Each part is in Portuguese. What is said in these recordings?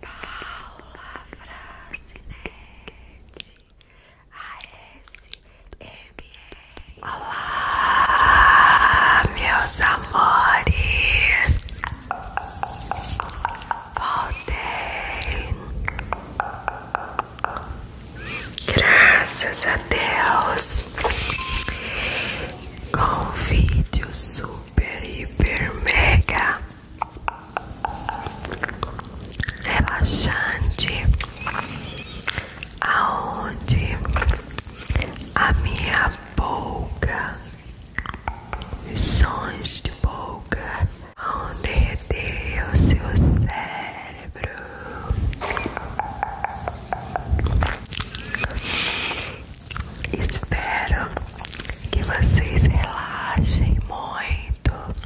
Paula Francinete ASMR Olá, meus amores Voltei Graças a Deus Com vídeo super, hiper, mega relaxante, aonde a minha boca, sons de boca, onde derreter seu cérebro. Espero que vocês relaxem muito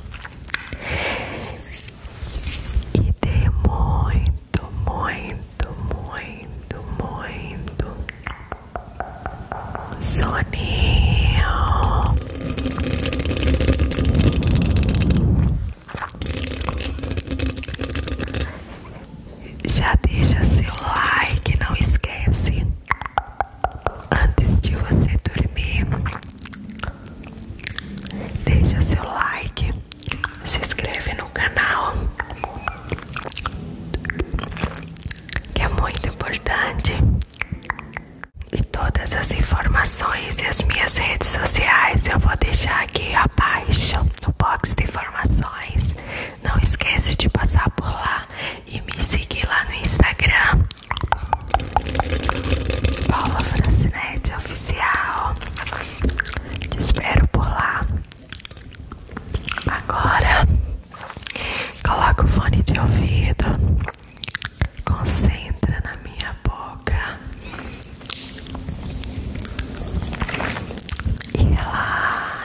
e dê muito, muito, muito, muito soninho já deixa seu like, não esquece. Antes de você dormir, deixa seu like, se inscreve no canal, que é muito importante. E todas as informações e as minhas redes sociais eu vou deixar aqui abaixo no box de informações. Não esquece de passar por lá e me seguir lá no Instagram. Paula Francinete Oficial. Te espero por lá. Agora, coloca o fone de ouvido. Concentra na minha boca. E relaxa.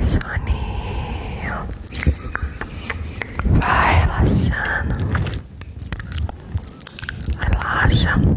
Soninho, vai relaxando, relaxa. Relaxa, relaxa, relaxa, relaxa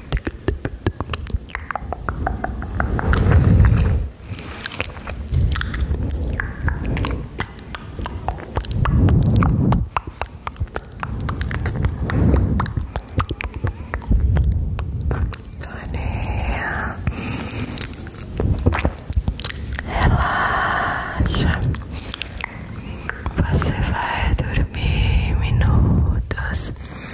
Relaxa, você vai dormir minutos.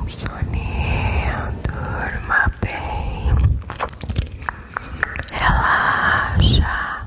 Um soninho, durma bem, relaxa.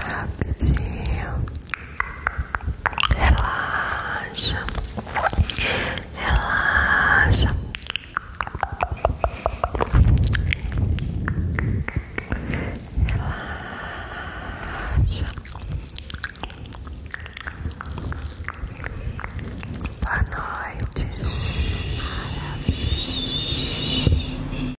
Rapidinho. Relaxa. Relaxa. Relaxa. Boa noite.